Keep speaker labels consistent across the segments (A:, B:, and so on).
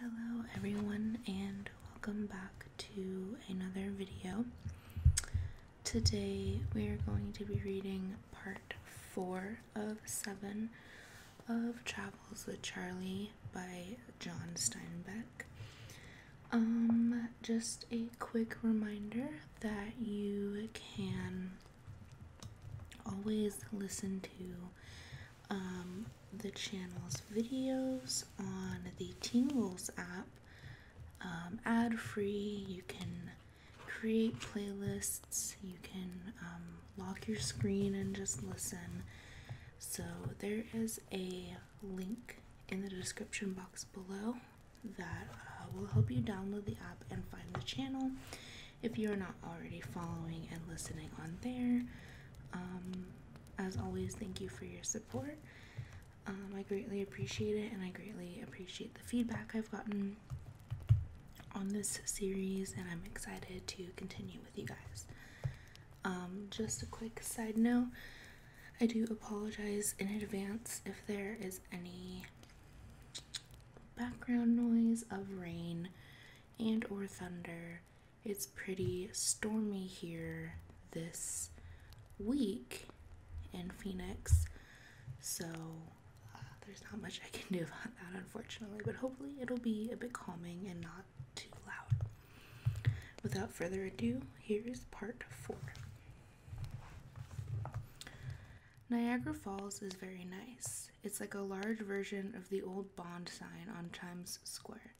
A: Hello everyone and welcome back to another video. Today we are going to be reading part 4 of 7 of Travels with Charlie by John Steinbeck. Um, just a quick reminder that you can always listen to um, the channel's videos on the Tingles app um, ad free. You can create playlists, you can um, lock your screen and just listen. So, there is a link in the description box below that uh, will help you download the app and find the channel if you are not already following and listening on there. Um, as always, thank you for your support. Um, I greatly appreciate it, and I greatly appreciate the feedback I've gotten on this series, and I'm excited to continue with you guys. Um, just a quick side note I do apologize in advance if there is any background noise of rain and or thunder it's pretty stormy here this week in Phoenix, so uh, there's not much I can do about that, unfortunately. But hopefully, it'll be a bit calming and not too loud. Without further ado, here's part four. Niagara Falls is very nice. It's like a large version of the old Bond sign on Times Square.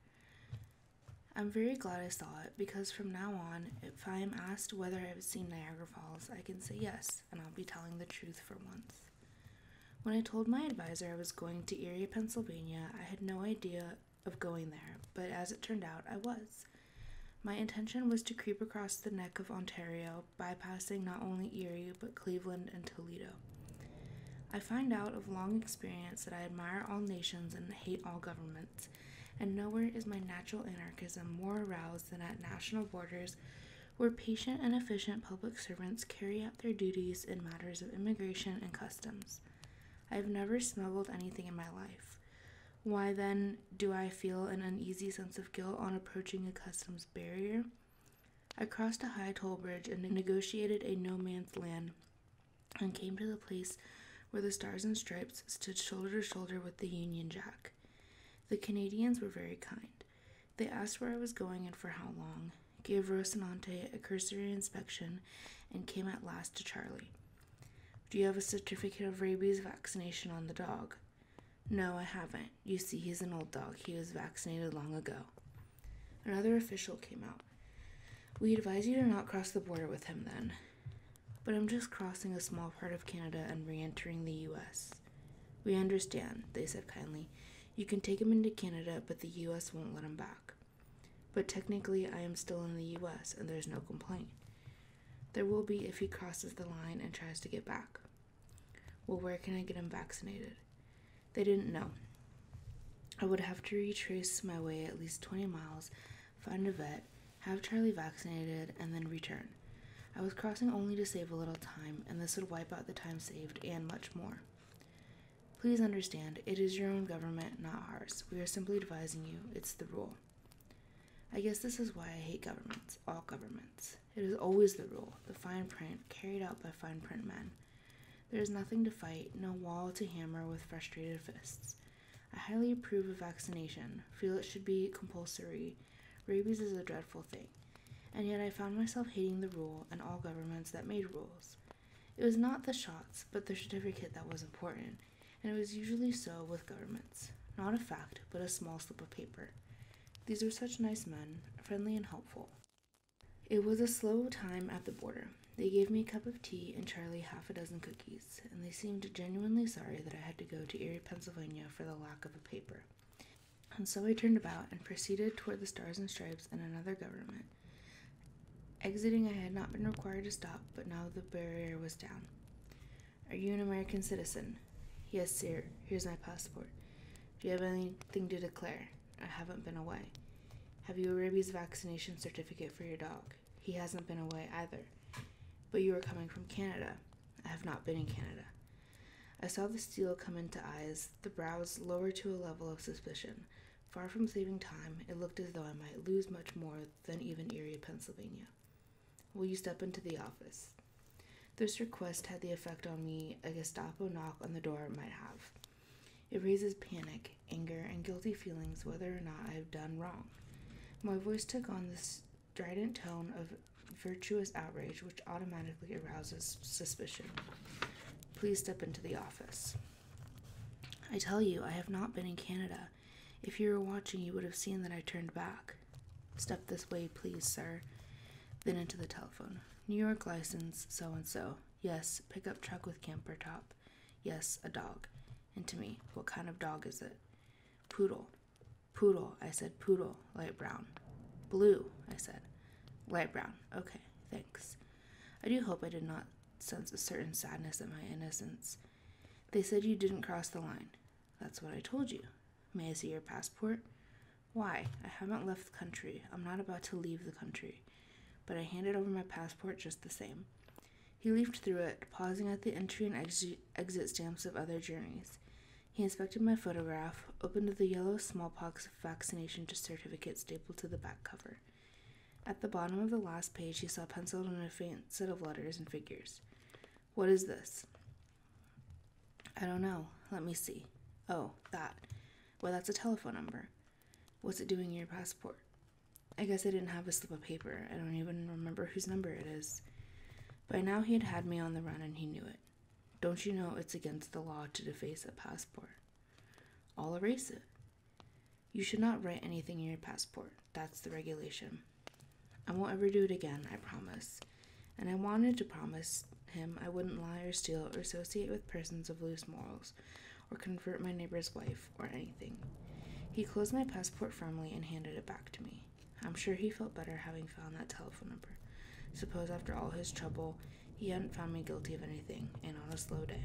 A: I'm very glad I saw it because from now on, if I am asked whether I've seen Niagara Falls, I can say yes, and I'll be telling the truth for once. When I told my advisor I was going to Erie, Pennsylvania, I had no idea of going there, but as it turned out, I was. My intention was to creep across the neck of Ontario, bypassing not only Erie but Cleveland and Toledo. I find out of long experience that I admire all nations and hate all governments, and nowhere is my natural anarchism more aroused than at national borders where patient and efficient public servants carry out their duties in matters of immigration and customs. I have never smuggled anything in my life. Why then do I feel an uneasy sense of guilt on approaching a customs barrier? I crossed a high toll bridge and negotiated a no man's land and came to the place where the Stars and Stripes stood shoulder to shoulder with the Union Jack. The Canadians were very kind. They asked where I was going and for how long, gave Rocinante a cursory inspection, and came at last to Charlie. Do you have a certificate of rabies vaccination on the dog? No, I haven't. You see, he's an old dog. He was vaccinated long ago. Another official came out. We advise you to not cross the border with him then. But I'm just crossing a small part of Canada and re entering the US. We understand, they said kindly. You can take him into Canada, but the US won't let him back. But technically, I am still in the US and there's no complaint. There will be if he crosses the line and tries to get back. Well, where can I get him vaccinated? They didn't know. I would have to retrace my way at least 20 miles, find a vet, have Charlie vaccinated, and then return. I was crossing only to save a little time, and this would wipe out the time saved and much more. Please understand, it is your own government, not ours. We are simply advising you, it's the rule. I guess this is why I hate governments, all governments. It is always the rule, the fine print carried out by fine print men. There is nothing to fight, no wall to hammer with frustrated fists. I highly approve of vaccination, feel it should be compulsory. Rabies is a dreadful thing. And yet I found myself hating the rule and all governments that made rules. It was not the shots, but the certificate that was important, and it was usually so with governments. Not a fact, but a small slip of paper. These were such nice men, friendly and helpful. It was a slow time at the border. They gave me a cup of tea and Charlie half a dozen cookies, and they seemed genuinely sorry that I had to go to Erie, Pennsylvania for the lack of a paper. And so I turned about and proceeded toward the Stars and Stripes and another government. Exiting, I had not been required to stop, but now the barrier was down. Are you an American citizen? Yes, sir. Here's my passport. Do you have anything to declare? I haven't been away. Have you a rabies vaccination certificate for your dog? He hasn't been away either. But you are coming from Canada. I have not been in Canada. I saw the steel come into eyes, the brows lower to a level of suspicion. Far from saving time, it looked as though I might lose much more than even Erie, Pennsylvania. Will you step into the office? This request had the effect on me a Gestapo knock on the door might have. It raises panic, anger, and guilty feelings whether or not I have done wrong. My voice took on the strident tone of virtuous outrage, which automatically arouses suspicion. Please step into the office. I tell you, I have not been in Canada. If you were watching, you would have seen that I turned back. Step this way, please, sir. Then into the telephone. New York license, so and so. Yes, pickup truck with camper top. Yes, a dog. And to me, what kind of dog is it? Poodle. Poodle, I said, poodle, light brown. Blue, I said. Light brown. Okay, thanks. I do hope I did not sense a certain sadness at my innocence. They said you didn't cross the line. That's what I told you. May I see your passport? Why? I haven't left the country. I'm not about to leave the country but I handed over my passport just the same. He leafed through it, pausing at the entry and exit stamps of other journeys. He inspected my photograph, opened the yellow smallpox vaccination certificate stapled to the back cover. At the bottom of the last page, he saw penciled in a faint set of letters and figures. What is this? I don't know. Let me see. Oh, that. Well, that's a telephone number. What's it doing in your passport? I guess I didn't have a slip of paper. I don't even remember whose number it is. By now he had had me on the run and he knew it. Don't you know it's against the law to deface a passport? I'll erase it. You should not write anything in your passport. That's the regulation. I won't ever do it again, I promise. And I wanted to promise him I wouldn't lie or steal or associate with persons of loose morals or convert my neighbor's wife or anything. He closed my passport firmly and handed it back to me. I'm sure he felt better having found that telephone number. Suppose after all his trouble, he hadn't found me guilty of anything, and on a slow day.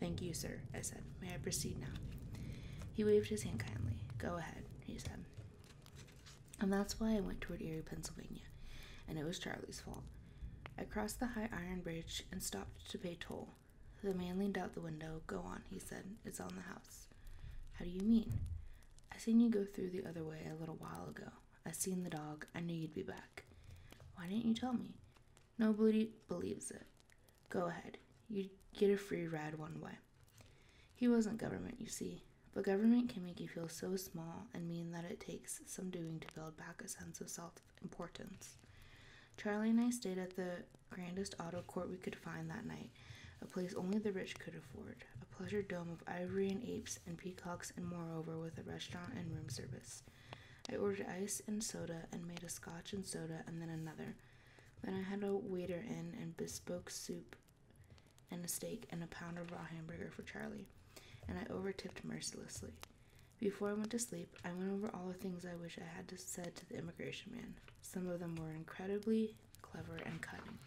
A: Thank you, sir, I said. May I proceed now? He waved his hand kindly. Go ahead, he said. And that's why I went toward Erie, Pennsylvania, and it was Charlie's fault. I crossed the high iron bridge and stopped to pay toll. The man leaned out the window. Go on, he said. It's on the house. How do you mean? I seen you go through the other way a little while ago. I seen the dog. I knew you'd be back. Why didn't you tell me? Nobody believes it. Go ahead. you get a free ride one way. He wasn't government, you see. But government can make you feel so small and mean that it takes some doing to build back a sense of self importance. Charlie and I stayed at the grandest auto court we could find that night, a place only the rich could afford, a pleasure dome of ivory and apes and peacocks, and moreover, with a restaurant and room service. I ordered ice and soda and made a scotch and soda and then another. Then I had a waiter in and bespoke soup and a steak and a pound of raw hamburger for Charlie, and I overtipped mercilessly. Before I went to sleep, I went over all the things I wish I had said to the immigration man. Some of them were incredibly clever and cutting.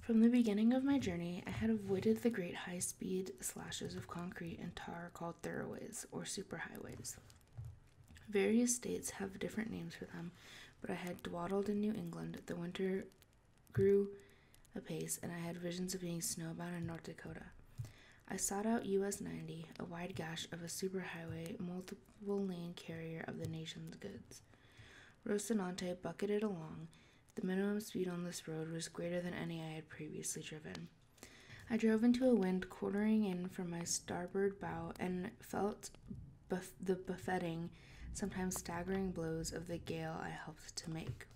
A: From the beginning of my journey, I had avoided the great high speed slashes of concrete and tar called thoroughways or superhighways. Various states have different names for them, but I had dawdled in New England the winter grew apace, and I had visions of being snowbound in North Dakota. I sought out US 90, a wide gash of a superhighway, multiple lane carrier of the nation's goods. Rocinante bucketed along. The minimum speed on this road was greater than any I had previously driven. I drove into a wind quartering in from my starboard bow and felt the buffeting, sometimes staggering blows of the gale I helped to make.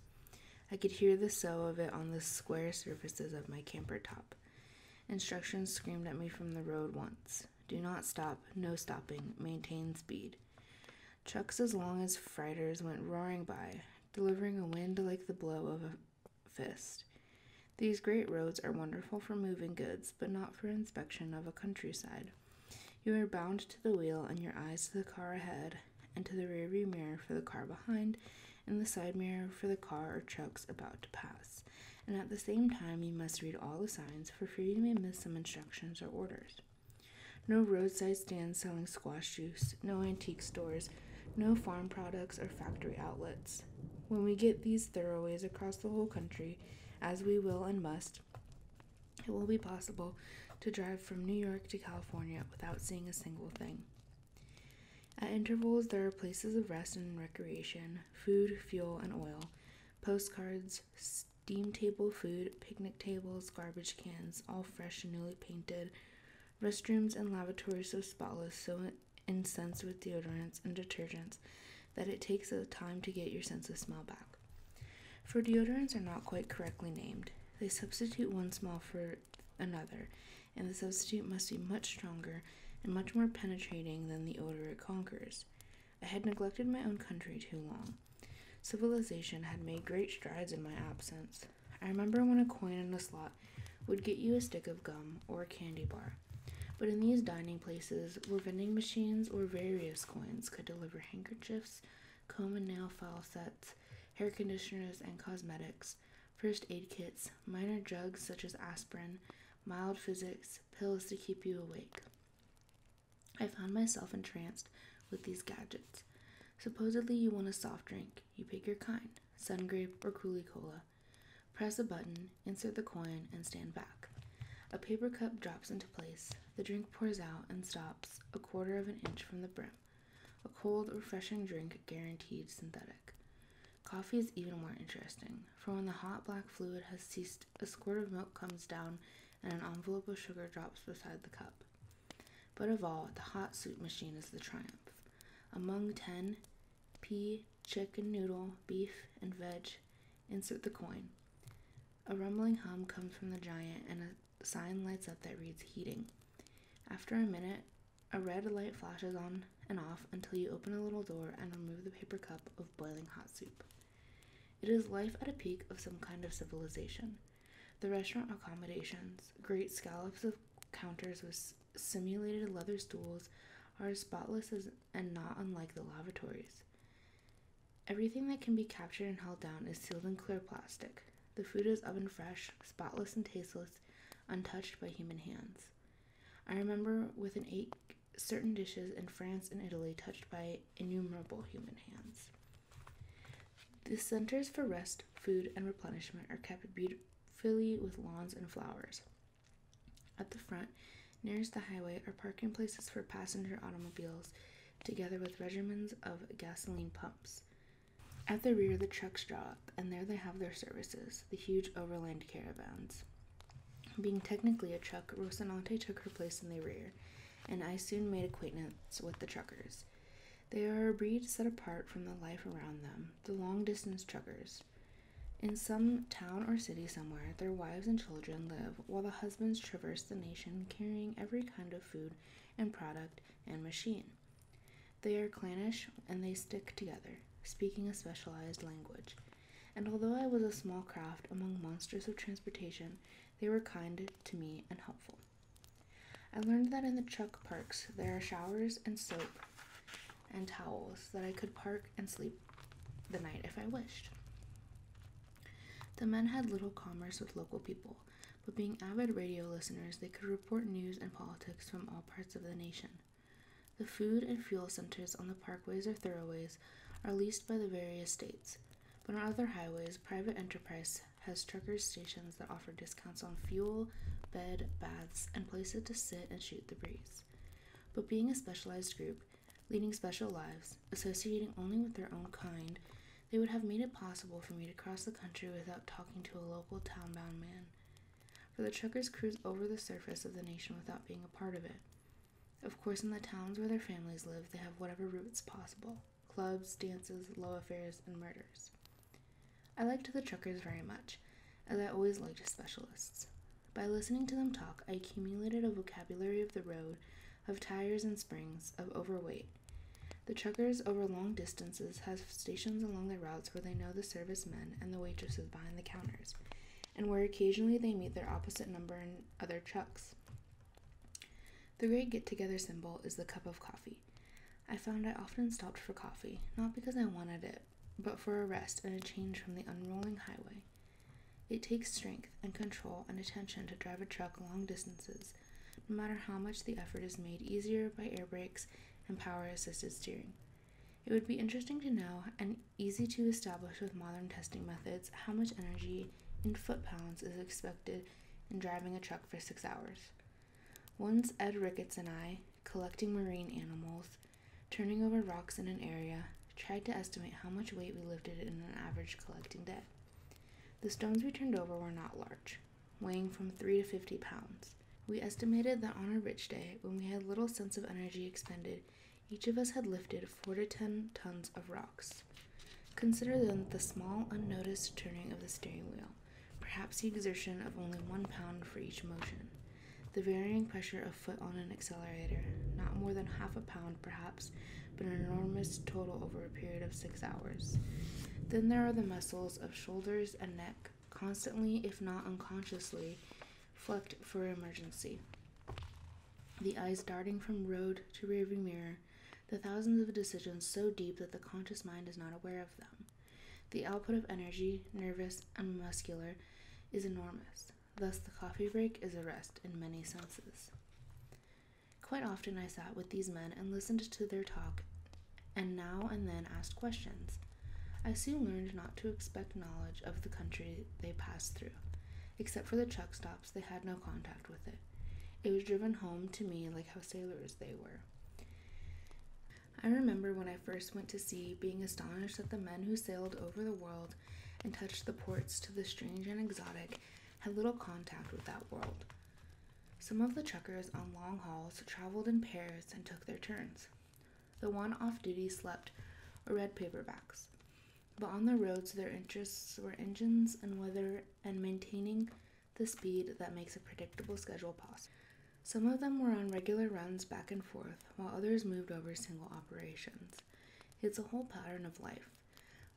A: I could hear the sew of it on the square surfaces of my camper top. Instructions screamed at me from the road once do not stop, no stopping, maintain speed. Trucks as long as freighters went roaring by, delivering a wind like the blow of a fist. These great roads are wonderful for moving goods, but not for inspection of a countryside. You are bound to the wheel and your eyes to the car ahead, and to the rear view mirror for the car behind, and the side mirror for the car or trucks about to pass. And at the same time, you must read all the signs, for fear you may miss some instructions or orders. No roadside stands selling squash juice, no antique stores, no farm products or factory outlets. When we get these thoroughways across the whole country, as we will and must, it will be possible to drive from New York to California without seeing a single thing. At intervals, there are places of rest and recreation, food, fuel, and oil, postcards, steam table food, picnic tables, garbage cans, all fresh and newly painted, restrooms and lavatories so spotless, so incensed with deodorants and detergents that it takes a time to get your sense of smell back. For deodorants are not quite correctly named. They substitute one smell for another, and the substitute must be much stronger and much more penetrating than the odor it conquers. I had neglected my own country too long. Civilization had made great strides in my absence. I remember when a coin in a slot would get you a stick of gum or a candy bar. But in these dining places were vending machines where various coins could deliver handkerchiefs, comb and nail file sets, hair conditioners and cosmetics, first aid kits, minor drugs such as aspirin, mild physics, pills to keep you awake. I found myself entranced with these gadgets. Supposedly, you want a soft drink. You pick your kind sun grape or Coolie Cola. Press a button, insert the coin, and stand back. A paper cup drops into place. The drink pours out and stops a quarter of an inch from the brim. A cold, refreshing drink guaranteed synthetic. Coffee is even more interesting, for when the hot black fluid has ceased, a squirt of milk comes down and an envelope of sugar drops beside the cup. But of all, the hot soup machine is the triumph. Among 10, pea, chicken noodle, beef, and veg, insert the coin. A rumbling hum comes from the giant, and a sign lights up that reads heating. After a minute, a red light flashes on and off until you open a little door and remove the paper cup of boiling hot soup. It is life at a peak of some kind of civilization. The restaurant accommodations, great scallops of counters with simulated leather stools, are spotless and not unlike the lavatories. Everything that can be captured and held down is sealed in clear plastic, the food is oven fresh, spotless and tasteless, untouched by human hands. I remember with an ache certain dishes in France and Italy touched by innumerable human hands. The centers for rest, food, and replenishment are kept beautifully with lawns and flowers. At the front, nearest the highway, are parking places for passenger automobiles, together with regiments of gasoline pumps. At the rear, the trucks draw up, and there they have their services the huge overland caravans. Being technically a truck, Rocinante took her place in the rear, and I soon made acquaintance with the truckers. They are a breed set apart from the life around them, the long distance truckers. In some town or city somewhere, their wives and children live while the husbands traverse the nation carrying every kind of food and product and machine. They are clannish and they stick together, speaking a specialized language. And although I was a small craft among monsters of transportation, they were kind to me and helpful. I learned that in the chuck parks there are showers and soap and towels that I could park and sleep the night if I wished. The men had little commerce with local people, but being avid radio listeners, they could report news and politics from all parts of the nation. The food and fuel centers on the parkways or thoroughways are leased by the various states, but on other highways, private enterprise has truckers' stations that offer discounts on fuel, bed, baths, and places to sit and shoot the breeze. But being a specialized group, leading special lives, associating only with their own kind, they would have made it possible for me to cross the country without talking to a local town-bound man. For the truckers cruise over the surface of the nation without being a part of it. Of course, in the towns where their families live, they have whatever routes possible clubs, dances, love affairs, and murders. I liked the truckers very much, as I always liked specialists. By listening to them talk, I accumulated a vocabulary of the road, of tires and springs, of overweight, the truckers over long distances have stations along their routes where they know the service men and the waitresses behind the counters, and where occasionally they meet their opposite number in other trucks. The great get together symbol is the cup of coffee. I found I often stopped for coffee, not because I wanted it, but for a rest and a change from the unrolling highway. It takes strength and control and attention to drive a truck long distances, no matter how much the effort is made easier by air brakes and power assisted steering. It would be interesting to know and easy to establish with modern testing methods how much energy in foot pounds is expected in driving a truck for six hours. Once Ed Ricketts and I, collecting marine animals, turning over rocks in an area, tried to estimate how much weight we lifted in an average collecting day. The stones we turned over were not large weighing from 3 to 50 pounds. We estimated that on a rich day, when we had little sense of energy expended, each of us had lifted 4 to 10 tons of rocks. Consider then the small, unnoticed turning of the steering wheel, perhaps the exertion of only one pound for each motion, the varying pressure of foot on an accelerator, not more than half a pound perhaps, but an enormous total over a period of six hours. Then there are the muscles of shoulders and neck constantly, if not unconsciously, flecked for emergency. The eyes darting from road to rearview mirror, the thousands of decisions so deep that the conscious mind is not aware of them. The output of energy, nervous and muscular, is enormous. Thus, the coffee break is a rest in many senses. Quite often, I sat with these men and listened to their talk and now and then asked questions. I soon learned not to expect knowledge of the country they passed through. Except for the truck stops, they had no contact with it. It was driven home to me like how sailors they were. I remember when I first went to sea being astonished that the men who sailed over the world and touched the ports to the strange and exotic had little contact with that world. Some of the truckers on long hauls traveled in pairs and took their turns. The one off duty slept or read paperbacks. But on the roads, their interests were engines and weather and maintaining the speed that makes a predictable schedule possible. Some of them were on regular runs back and forth, while others moved over single operations. It's a whole pattern of life,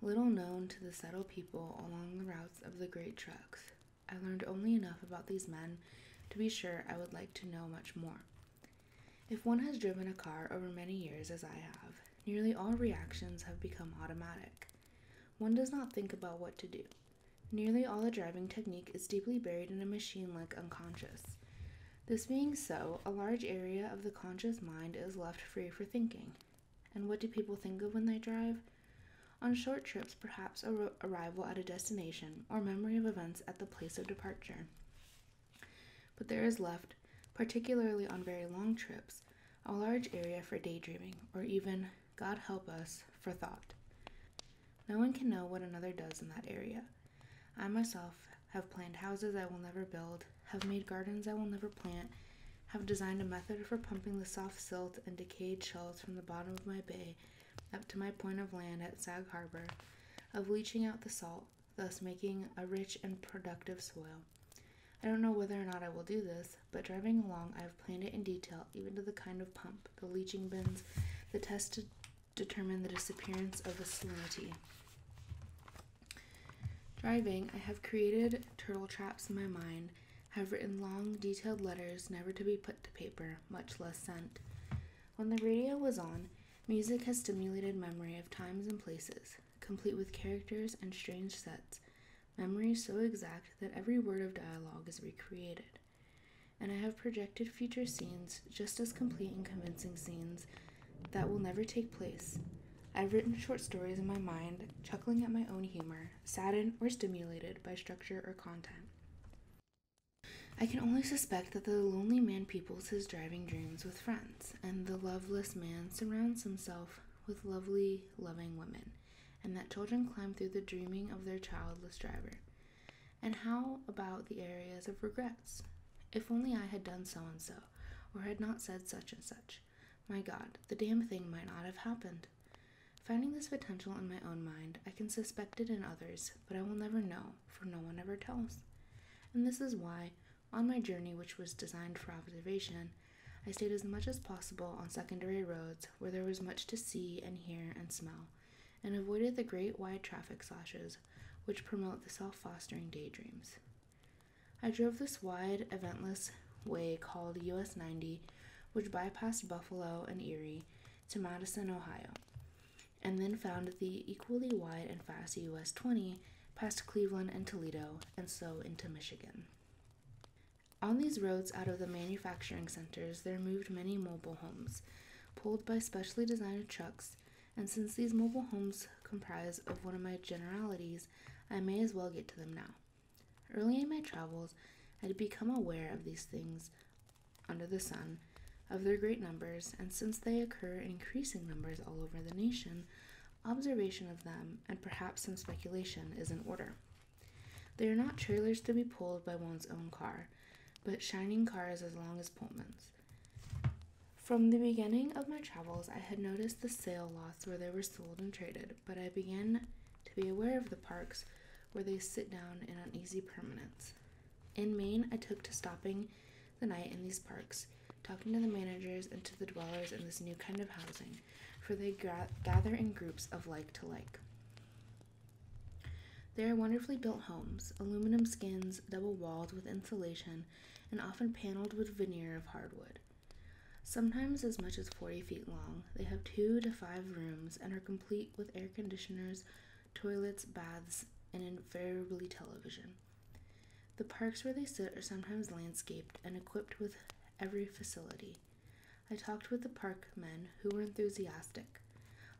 A: little known to the settled people along the routes of the great trucks. I learned only enough about these men to be sure I would like to know much more. If one has driven a car over many years, as I have, nearly all reactions have become automatic. One does not think about what to do. Nearly all the driving technique is deeply buried in a machine like unconscious. This being so, a large area of the conscious mind is left free for thinking. And what do people think of when they drive? On short trips, perhaps a arrival at a destination or memory of events at the place of departure. But there is left, particularly on very long trips, a large area for daydreaming or even, God help us, for thought. No one can know what another does in that area. I myself have planned houses I will never build, have made gardens I will never plant, have designed a method for pumping the soft silt and decayed shells from the bottom of my bay up to my point of land at Sag Harbor, of leaching out the salt, thus making a rich and productive soil. I don't know whether or not I will do this, but driving along, I have planned it in detail, even to the kind of pump, the leaching bins, the test to determine the disappearance of the salinity. Driving, I have created turtle traps in my mind have written long, detailed letters never to be put to paper, much less sent. When the radio was on, music has stimulated memory of times and places, complete with characters and strange sets, Memory so exact that every word of dialogue is recreated. And I have projected future scenes, just as complete and convincing scenes, that will never take place. I've written short stories in my mind, chuckling at my own humor, saddened or stimulated by structure or content. I can only suspect that the lonely man peoples his driving dreams with friends, and the loveless man surrounds himself with lovely, loving women, and that children climb through the dreaming of their childless driver. And how about the areas of regrets? If only I had done so and so, or had not said such and such. My God, the damn thing might not have happened. Finding this potential in my own mind, I can suspect it in others, but I will never know, for no one ever tells. And this is why, on my journey, which was designed for observation, I stayed as much as possible on secondary roads where there was much to see and hear and smell, and avoided the great wide traffic slashes which promote the self fostering daydreams. I drove this wide, eventless way called US 90, which bypassed Buffalo and Erie to Madison, Ohio, and then found the equally wide and fast US 20 past Cleveland and Toledo, and so into Michigan. On these roads out of the manufacturing centers, there moved many mobile homes, pulled by specially designed trucks, and since these mobile homes comprise of one of my generalities, I may as well get to them now. Early in my travels, I had become aware of these things under the sun of their great numbers, and since they occur in increasing numbers all over the nation, observation of them, and perhaps some speculation, is in order. They are not trailers to be pulled by one's own car, but shining cars as long as Pullman's. From the beginning of my travels, I had noticed the sale lots where they were sold and traded, but I began to be aware of the parks where they sit down in uneasy permanence. In Maine, I took to stopping the night in these parks, talking to the managers and to the dwellers in this new kind of housing, for they gather in groups of like to like. They are wonderfully built homes, aluminum skins, double walled with insulation, and often paneled with veneer of hardwood. Sometimes as much as 40 feet long, they have two to five rooms and are complete with air conditioners, toilets, baths, and invariably television. The parks where they sit are sometimes landscaped and equipped with every facility. I talked with the park men who were enthusiastic.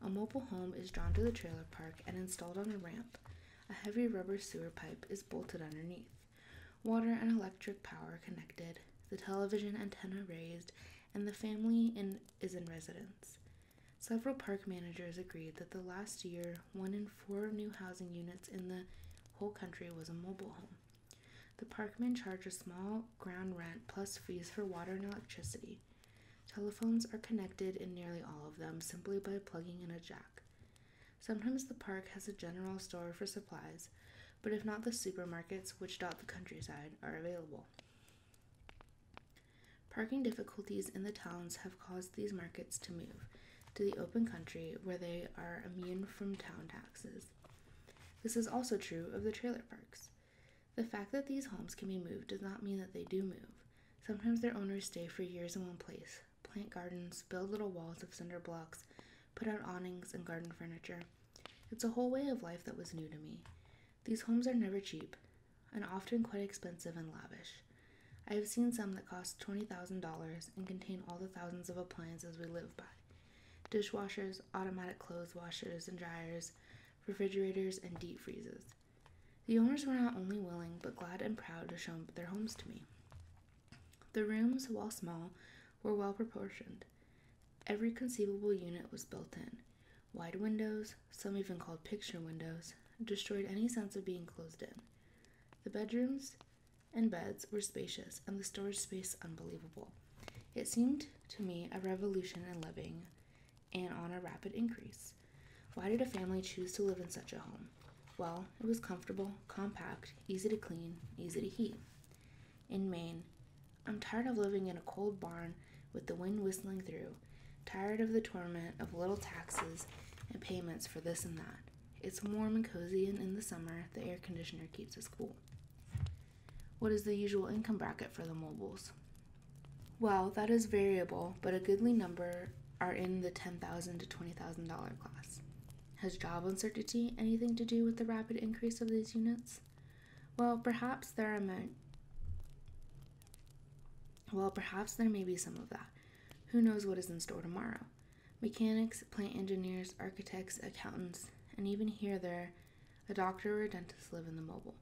A: A mobile home is drawn to the trailer park and installed on a ramp. A heavy rubber sewer pipe is bolted underneath. Water and electric power connected, the television antenna raised, and the family in is in residence. Several park managers agreed that the last year, one in four new housing units in the whole country was a mobile home. The parkmen charge a small ground rent plus fees for water and electricity. Telephones are connected in nearly all of them simply by plugging in a jack. Sometimes the park has a general store for supplies, but if not, the supermarkets, which dot the countryside, are available. Parking difficulties in the towns have caused these markets to move to the open country where they are immune from town taxes. This is also true of the trailer parks. The fact that these homes can be moved does not mean that they do move. Sometimes their owners stay for years in one place, plant gardens, build little walls of cinder blocks, put out awnings and garden furniture. It's a whole way of life that was new to me. These homes are never cheap and often quite expensive and lavish. I have seen some that cost $20,000 and contain all the thousands of appliances we live by dishwashers, automatic clothes washers and dryers, refrigerators, and deep freezes. The owners were not only willing but glad and proud to show their homes to me. The rooms, while small, were well proportioned. Every conceivable unit was built in, Wide windows, some even called picture windows, destroyed any sense of being closed in. The bedrooms and beds were spacious, and the storage space unbelievable. It seemed to me a revolution in living and on a rapid increase. Why did a family choose to live in such a home? Well, it was comfortable, compact, easy to clean, easy to heat in Maine. I'm tired of living in a cold barn with the wind whistling through, tired of the torment of little taxes and payments for this and that. It's warm and cozy, and in the summer, the air conditioner keeps us cool. What is the usual income bracket for the mobiles? Well, that is variable, but a goodly number are in the 10000 to $20,000 class. Has job uncertainty anything to do with the rapid increase of these units? Well, perhaps there are men. Well, perhaps there may be some of that. Who knows what is in store tomorrow? Mechanics, plant engineers, architects, accountants, and even here there, a doctor or a dentist live in the mobile.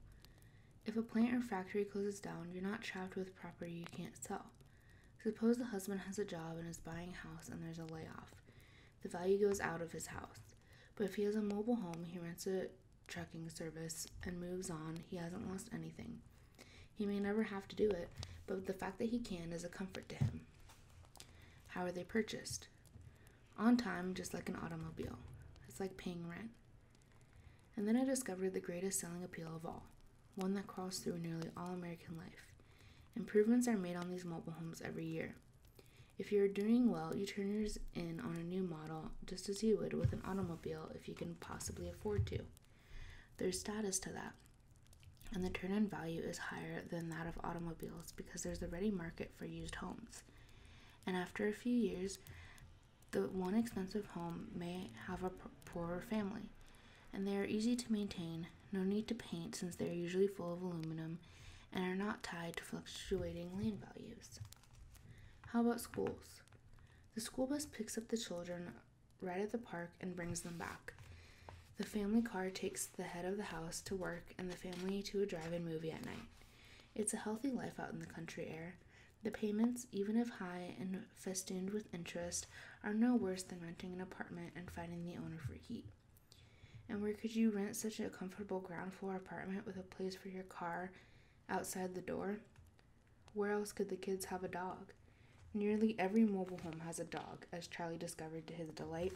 A: If a plant or factory closes down, you're not trapped with property you can't sell. Suppose the husband has a job and is buying a house and there's a layoff. The value goes out of his house. But if he has a mobile home, he rents it trucking service and moves on, he hasn't lost anything. He may never have to do it, but the fact that he can is a comfort to him. How are they purchased? On time, just like an automobile. It's like paying rent. And then I discovered the greatest selling appeal of all, one that crawls through nearly all American life. Improvements are made on these mobile homes every year. If you're doing well, you turn yours in on a new model just as you would with an automobile if you can possibly afford to. There's status to that, and the turn in value is higher than that of automobiles because there's a ready market for used homes. And after a few years, the one expensive home may have a poorer family, and they are easy to maintain, no need to paint since they are usually full of aluminum and are not tied to fluctuating land values. How about schools? The school bus picks up the children right at the park and brings them back. The family car takes the head of the house to work and the family to a drive in movie at night. It's a healthy life out in the country air. The payments, even if high and festooned with interest, are no worse than renting an apartment and finding the owner for heat. And where could you rent such a comfortable ground floor apartment with a place for your car outside the door. Where else could the kids have a dog? Nearly every mobile home has a dog, as Charlie discovered to his delight.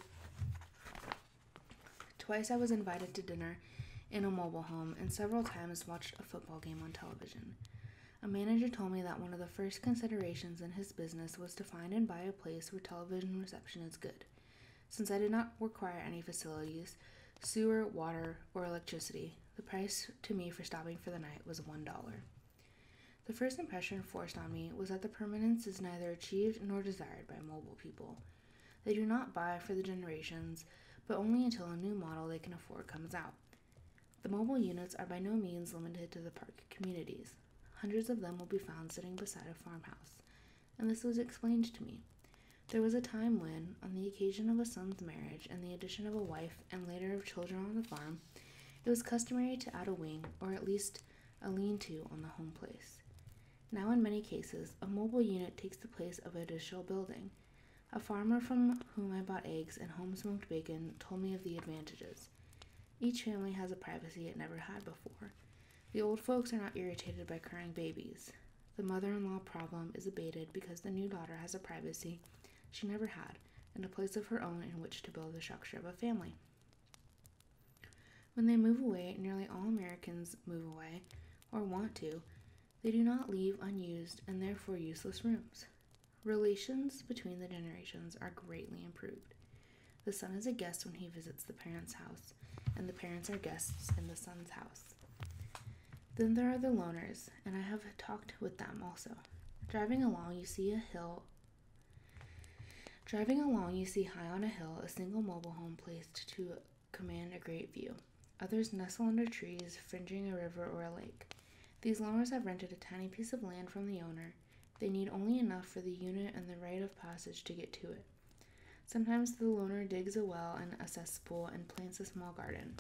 A: Twice I was invited to dinner in a mobile home and several times watched a football game on television. A manager told me that one of the first considerations in his business was to find and buy a place where television reception is good. Since I did not require any facilities, sewer, water, or electricity, the price to me for stopping for the night was $1. The first impression forced on me was that the permanence is neither achieved nor desired by mobile people. They do not buy for the generations, but only until a new model they can afford comes out. The mobile units are by no means limited to the park communities. Hundreds of them will be found sitting beside a farmhouse, and this was explained to me. There was a time when, on the occasion of a son's marriage and the addition of a wife and later of children on the farm, it was customary to add a wing, or at least a lean to, on the home place. Now, in many cases, a mobile unit takes the place of a additional building. A farmer from whom I bought eggs and home smoked bacon told me of the advantages. Each family has a privacy it never had before. The old folks are not irritated by crying babies. The mother in law problem is abated because the new daughter has a privacy she never had and a place of her own in which to build the structure of a family. When they move away, nearly all Americans move away or want to. They do not leave unused and therefore useless rooms. Relations between the generations are greatly improved. The son is a guest when he visits the parents' house, and the parents are guests in the son's house. Then there are the loners, and I have talked with them also. Driving along, you see a hill. Driving along, you see high on a hill a single mobile home placed to command a great view. Others nestle under trees fringing a river or a lake. These loners have rented a tiny piece of land from the owner. They need only enough for the unit and the right of passage to get to it. Sometimes the loner digs a well and a cesspool and plants a small garden,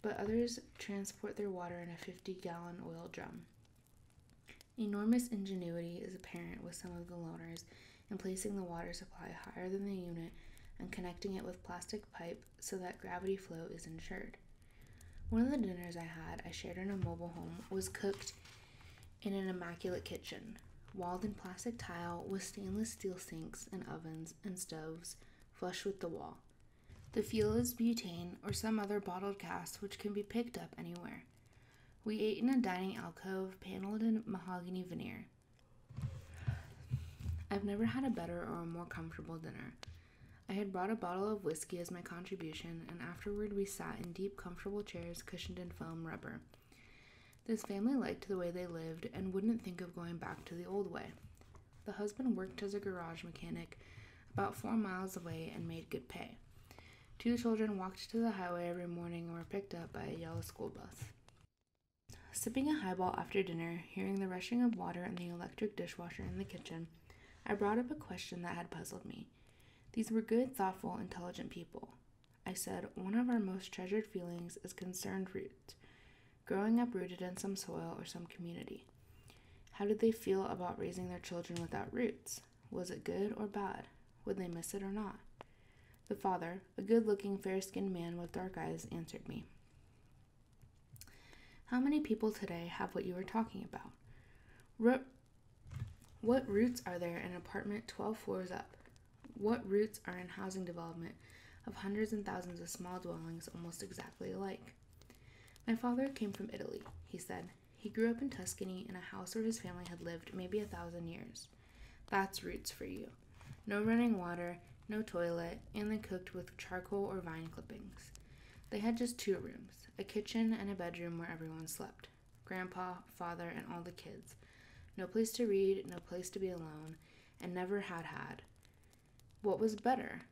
A: but others transport their water in a 50 gallon oil drum. Enormous ingenuity is apparent with some of the loners in placing the water supply higher than the unit and connecting it with plastic pipe so that gravity flow is ensured. One of the dinners I had, I shared in a mobile home, was cooked in an immaculate kitchen, walled in plastic tile with stainless steel sinks and ovens and stoves flush with the wall. The fuel is butane or some other bottled gas which can be picked up anywhere. We ate in a dining alcove paneled in mahogany veneer. I've never had a better or a more comfortable dinner. I had brought a bottle of whiskey as my contribution, and afterward we sat in deep, comfortable chairs cushioned in foam rubber. This family liked the way they lived and wouldn't think of going back to the old way. The husband worked as a garage mechanic about four miles away and made good pay. Two children walked to the highway every morning and were picked up by a yellow school bus. Sipping a highball after dinner, hearing the rushing of water and the electric dishwasher in the kitchen, I brought up a question that had puzzled me. These were good, thoughtful, intelligent people. I said, one of our most treasured feelings is concerned roots, growing up rooted in some soil or some community. How did they feel about raising their children without roots? Was it good or bad? Would they miss it or not? The father, a good looking, fair skinned man with dark eyes, answered me. How many people today have what you were talking about? Ro- what roots are there in an apartment 12 floors up? What roots are in housing development of hundreds and thousands of small dwellings almost exactly alike? My father came from Italy, he said. He grew up in Tuscany in a house where his family had lived maybe a thousand years. That's roots for you. No running water, no toilet, and they cooked with charcoal or vine clippings. They had just two rooms a kitchen and a bedroom where everyone slept grandpa, father, and all the kids. No place to read, no place to be alone, and never had had. What was better?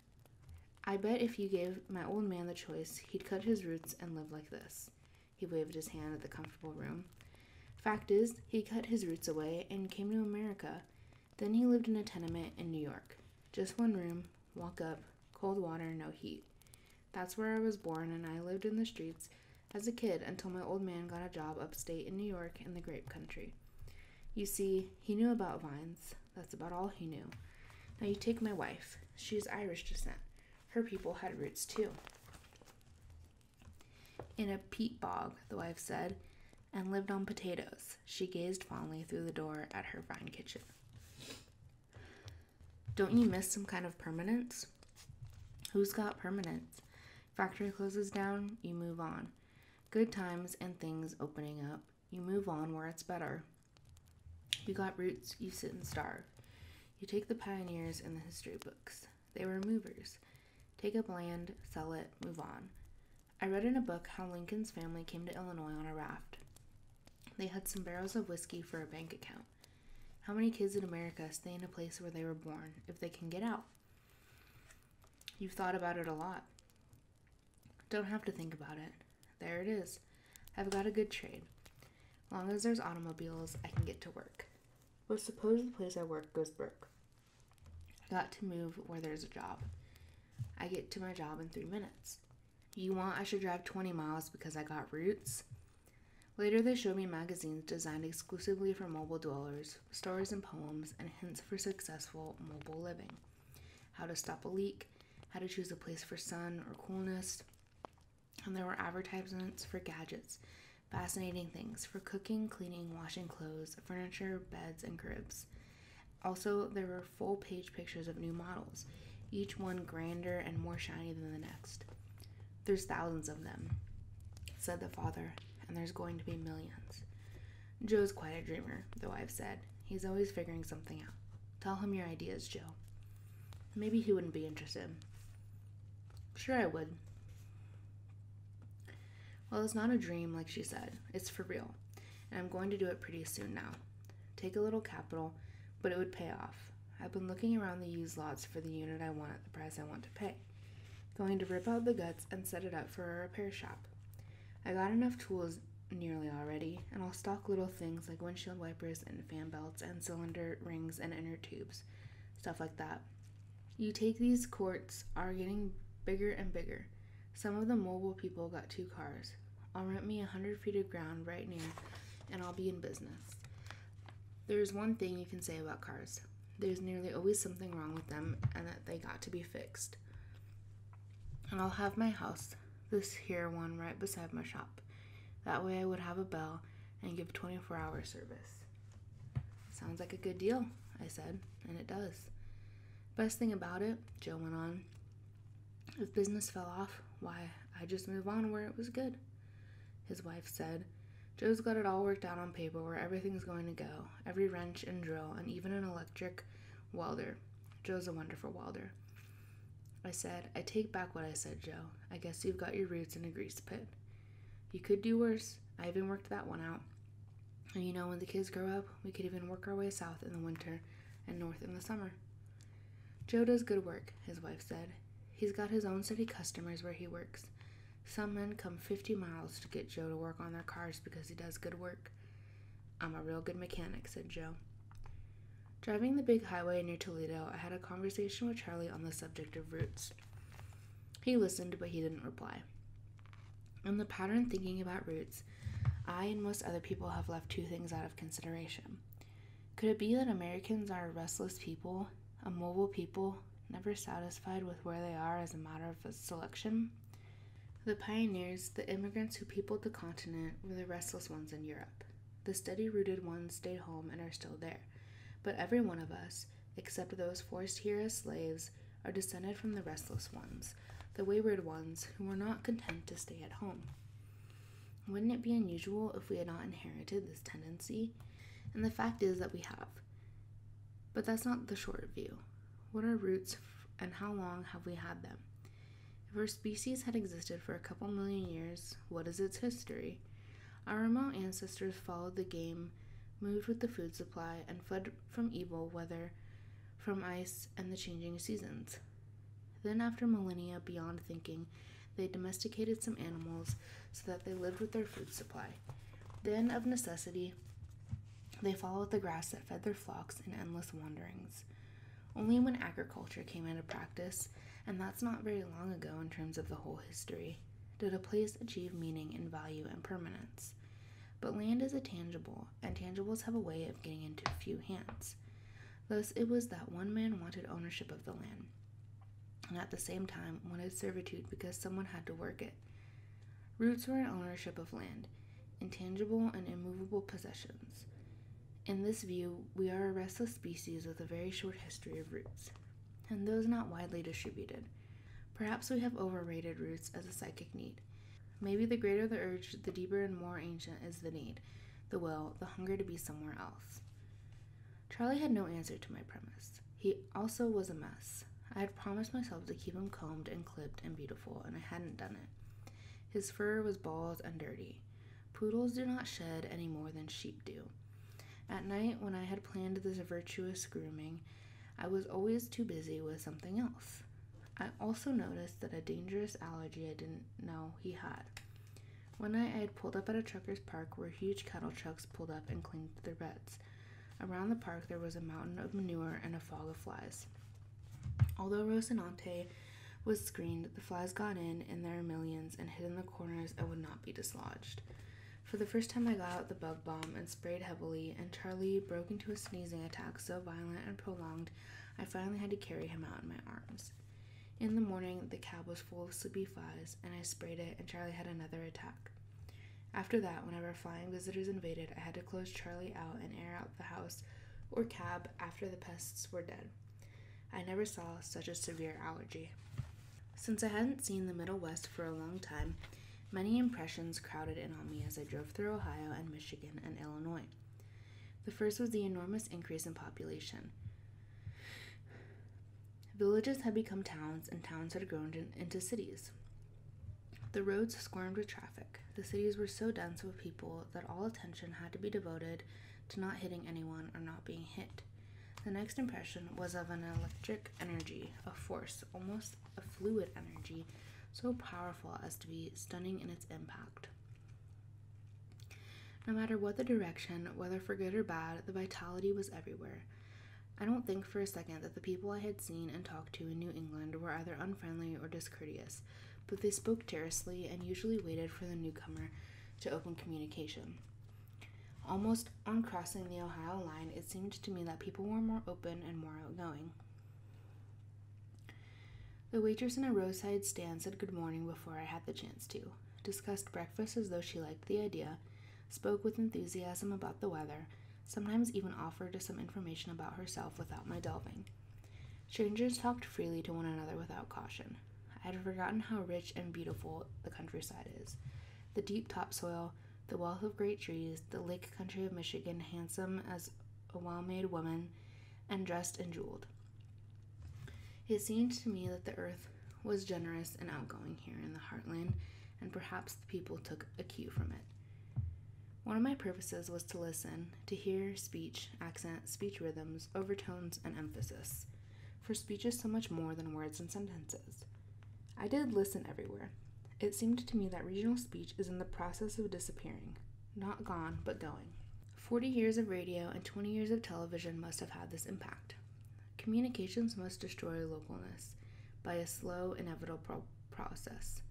A: I bet if you gave my old man the choice, he'd cut his roots and live like this. He waved his hand at the comfortable room. Fact is, he cut his roots away and came to America. Then he lived in a tenement in New York. Just one room, walk up, cold water, no heat. That's where I was born, and I lived in the streets as a kid until my old man got a job upstate in New York in the grape country. You see, he knew about vines. That's about all he knew. Now you take my wife. She's Irish descent. Her people had roots too. In a peat bog, the wife said, and lived on potatoes. She gazed fondly through the door at her vine kitchen. Don't you miss some kind of permanence? Who's got permanence? Factory closes down, you move on. Good times and things opening up. You move on where it's better. You got roots, you sit and starve. You take the pioneers in the history books. They were movers. Take up land, sell it, move on. I read in a book how Lincoln's family came to Illinois on a raft. They had some barrels of whiskey for a bank account. How many kids in America stay in a place where they were born if they can get out? You've thought about it a lot. Don't have to think about it. There it is. I've got a good trade. Long as there's automobiles, I can get to work. But suppose the place I work goes broke. I got to move where there's a job. I get to my job in three minutes. You want I should drive 20 miles because I got roots? Later, they showed me magazines designed exclusively for mobile dwellers stories, and poems, and hints for successful mobile living. How to stop a leak, how to choose a place for sun or coolness, and there were advertisements for gadgets, fascinating things for cooking, cleaning, washing clothes, furniture, beds, and cribs. Also, there were full page pictures of new models, each one grander and more shiny than the next. There's thousands of them, said the father, and there's going to be millions. Joe's quite a dreamer, though I've said. He's always figuring something out. Tell him your ideas, Joe. Maybe he wouldn't be interested. Sure, I would. Well, it's not a dream, like she said. It's for real. And I'm going to do it pretty soon now. Take a little capital, but it would pay off. I've been looking around the used lots for the unit I want at the price I want to pay. Going to rip out the guts and set it up for a repair shop. I got enough tools nearly already, and I'll stock little things like windshield wipers and fan belts and cylinder rings and inner tubes, stuff like that. You take these courts are getting bigger and bigger. Some of the mobile people got two cars. I'll rent me a hundred feet of ground right near, and I'll be in business. There is one thing you can say about cars there's nearly always something wrong with them and that they got to be fixed. And I'll have my house, this here one right beside my shop. That way I would have a bell and give 24 hour service. Sounds like a good deal, I said, and it does. Best thing about it, Joe went on, if business fell off, why, I just move on where it was good. His wife said, Joe's got it all worked out on paper where everything's going to go, every wrench and drill, and even an electric welder. Joe's a wonderful welder. I said, I take back what I said, Joe. I guess you've got your roots in a grease pit. You could do worse. I even worked that one out. And you know, when the kids grow up, we could even work our way south in the winter and north in the summer. Joe does good work, his wife said. He's got his own steady customers where he works, some men come 50 miles to get Joe to work on their cars because he does good work. I'm a real good mechanic, said Joe. Driving the big highway near Toledo, I had a conversation with Charlie on the subject of roots. He listened, but he didn't reply. In the pattern thinking about roots, I and most other people have left two things out of consideration. Could it be that Americans are a restless people, a mobile people, never satisfied with where they are as a matter of selection. The pioneers, the immigrants who peopled the continent, were the restless ones in Europe. The steady rooted ones stayed home and are still there. But every one of us, except those forced here as slaves, are descended from the restless ones, the wayward ones who were not content to stay at home. Wouldn't it be unusual if we had not inherited this tendency? And the fact is that we have. But that's not the short view. What are roots and how long have we had them? If our species had existed for a couple million years, what is its history? Our remote ancestors followed the game, moved with the food supply, and fled from evil weather, from ice, and the changing seasons. Then, after millennia beyond thinking, they domesticated some animals so that they lived with their food supply. Then, of necessity, they followed the grass that fed their flocks in endless wanderings. Only when agriculture came into practice, and that's not very long ago in terms of the whole history, did a place achieve meaning and value and permanence. But land is a tangible, and tangibles have a way of getting into few hands. Thus, it was that one man wanted ownership of the land, and at the same time wanted servitude because someone had to work it. Roots were an ownership of land, intangible and immovable possessions. In this view, we are a restless species with a very short history of roots, and those not widely distributed. Perhaps we have overrated roots as a psychic need. Maybe the greater the urge, the deeper and more ancient is the need, the will, the hunger to be somewhere else. Charlie had no answer to my premise. He also was a mess. I had promised myself to keep him combed and clipped and beautiful, and I hadn't done it. His fur was bald and dirty. Poodles do not shed any more than sheep do. At night, when I had planned this virtuous grooming, I was always too busy with something else. I also noticed that a dangerous allergy I didn't know he had. One night, I had pulled up at a trucker's park where huge cattle trucks pulled up and cleaned their beds. Around the park there was a mountain of manure and a fog of flies. Although Rocinante was screened, the flies got in in their millions and hid in the corners and would not be dislodged. For the first time, I got out the bug bomb and sprayed heavily, and Charlie broke into a sneezing attack so violent and prolonged, I finally had to carry him out in my arms. In the morning, the cab was full of sleepy flies, and I sprayed it, and Charlie had another attack. After that, whenever flying visitors invaded, I had to close Charlie out and air out the house or cab after the pests were dead. I never saw such a severe allergy. Since I hadn't seen the Middle West for a long time, many impressions crowded in on me as I drove through Ohio and Michigan and Illinois. The first was the enormous increase in population. Villages had become towns, and towns had grown into cities. The roads squirmed with traffic. The cities were so dense with people that all attention had to be devoted to not hitting anyone or not being hit. The next impression was of an electric energy, a force, almost a fluid energy, so powerful as to be stunning in its impact. No matter what the direction, whether for good or bad, the vitality was everywhere. I don't think for a second that the people I had seen and talked to in New England were either unfriendly or discourteous, but they spoke tersely and usually waited for the newcomer to open communication. Almost on crossing the Ohio line, it seemed to me that people were more open and more outgoing. The waitress in a roadside stand said good morning before I had the chance to, discussed breakfast as though she liked the idea, spoke with enthusiasm about the weather, sometimes even offered some information about herself without my delving. Strangers talked freely to one another without caution. I had forgotten how rich and beautiful the countryside is. The deep topsoil, the wealth of great trees, the lake country of Michigan, handsome as a well made woman, and dressed and jeweled. It seemed to me that the earth was generous and outgoing here in the heartland, and perhaps the people took a cue from it. One of my purposes was to listen, to hear speech, accent, speech rhythms, overtones, and emphasis. For speech is so much more than words and sentences. I did listen everywhere. It seemed to me that regional speech is in the process of disappearing. Not gone, but going. 40 years of radio and 20 years of television must have had this impact. Communications must destroy localness by a slow, inevitable pro- process.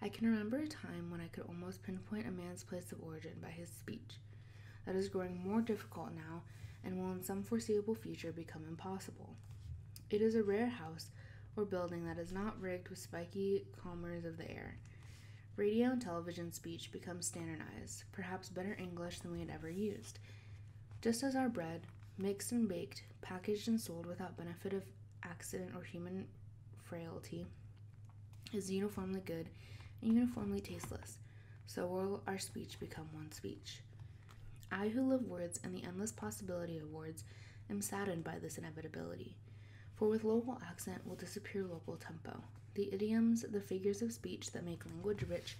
A: I can remember a time when I could almost pinpoint a man's place of origin by his speech. That is growing more difficult now and will in some foreseeable future become impossible. It is a rare house or building that is not rigged with spiky comers of the air. Radio and television speech becomes standardized, perhaps better English than we had ever used. Just as our bread, mixed and baked, packaged and sold without benefit of accident or human frailty is uniformly good and uniformly tasteless, so will our speech become one speech. I, who love words and the endless possibility of words, am saddened by this inevitability. For with local accent will disappear local tempo, the idioms, the figures of speech that make language rich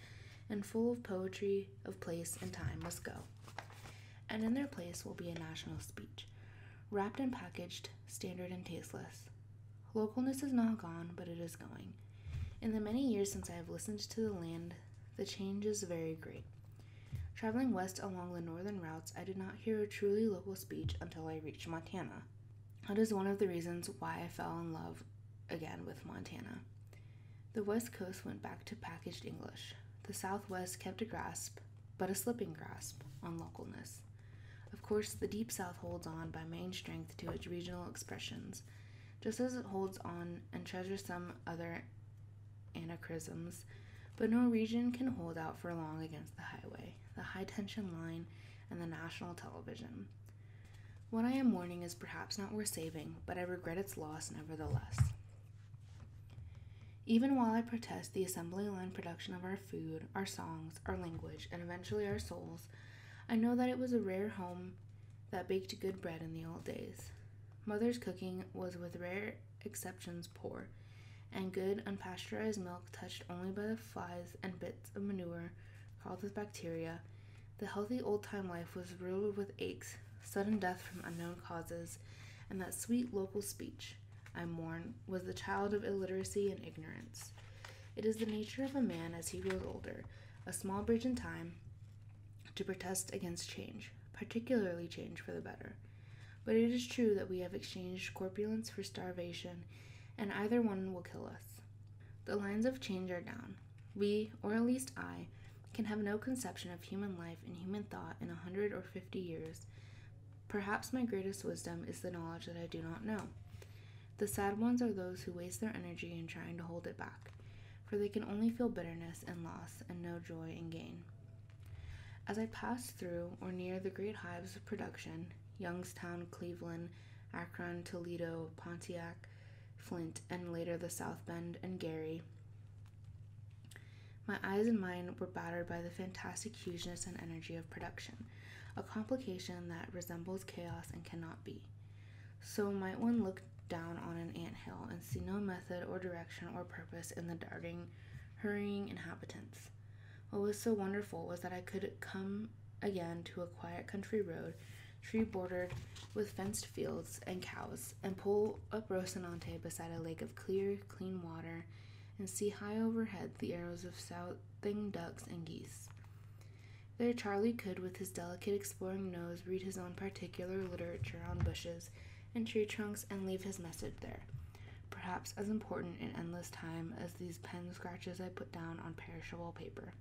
A: and full of poetry of place and time must go. And in their place will be a national speech, wrapped and packaged, standard and tasteless. Localness is not gone, but it is going. In the many years since I have listened to the land, the change is very great. Traveling west along the northern routes, I did not hear a truly local speech until I reached Montana. That is one of the reasons why I fell in love again with Montana. The West Coast went back to packaged English. The Southwest kept a grasp but a slipping grasp on localness. Of course, the Deep South holds on by main strength to its regional expressions, just as it holds on and treasures some other anachronisms, but no region can hold out for long against the highway, the high tension line, and the national television. What I am mourning is perhaps not worth saving, but I regret its loss nevertheless. Even while I protest the assembly line production of our food, our songs, our language, and eventually our souls, I know that it was a rare home that baked good bread in the old days. Mother's cooking was, with rare exceptions, poor, and good unpasteurized milk touched only by the flies and bits of manure crawled with bacteria. The healthy old time life was riddled with aches, sudden death from unknown causes, and that sweet local speech. I mourn, was the child of illiteracy and ignorance. It is the nature of a man as he grows older, a small bridge in time, to protest against change, particularly change for the better. But it is true that we have exchanged corpulence for starvation, and either one will kill us. The lines of change are down. We, or at least I, can have no conception of human life in human thought in a hundred or fifty years, perhaps my greatest wisdom is the knowledge that I do not know. The sad ones are those who waste their energy in trying to hold it back, for they can only feel bitterness and loss and no joy and gain. As I passed through or near the great hives of production, Youngstown, Cleveland, Akron, Toledo, Pontiac, Flint, and later the South Bend and Gary, my eyes and mind were battered by the fantastic hugeness and energy of production, a complication that resembles chaos and cannot be. So might one look down on an ant hill and see no method or direction or purpose in the darting, hurrying inhabitants. What was so wonderful was that I could come again to a quiet country road, tree bordered with fenced fields and cows, and pull up Rocinante beside a lake of clear, clean water and see high overhead the arrows of southing ducks and geese. There, Charlie could, with his delicate exploring nose, read his own particular literature on bushes and tree trunks and leave his message there, perhaps as important in endless time as these pen scratches I put down on perishable paper.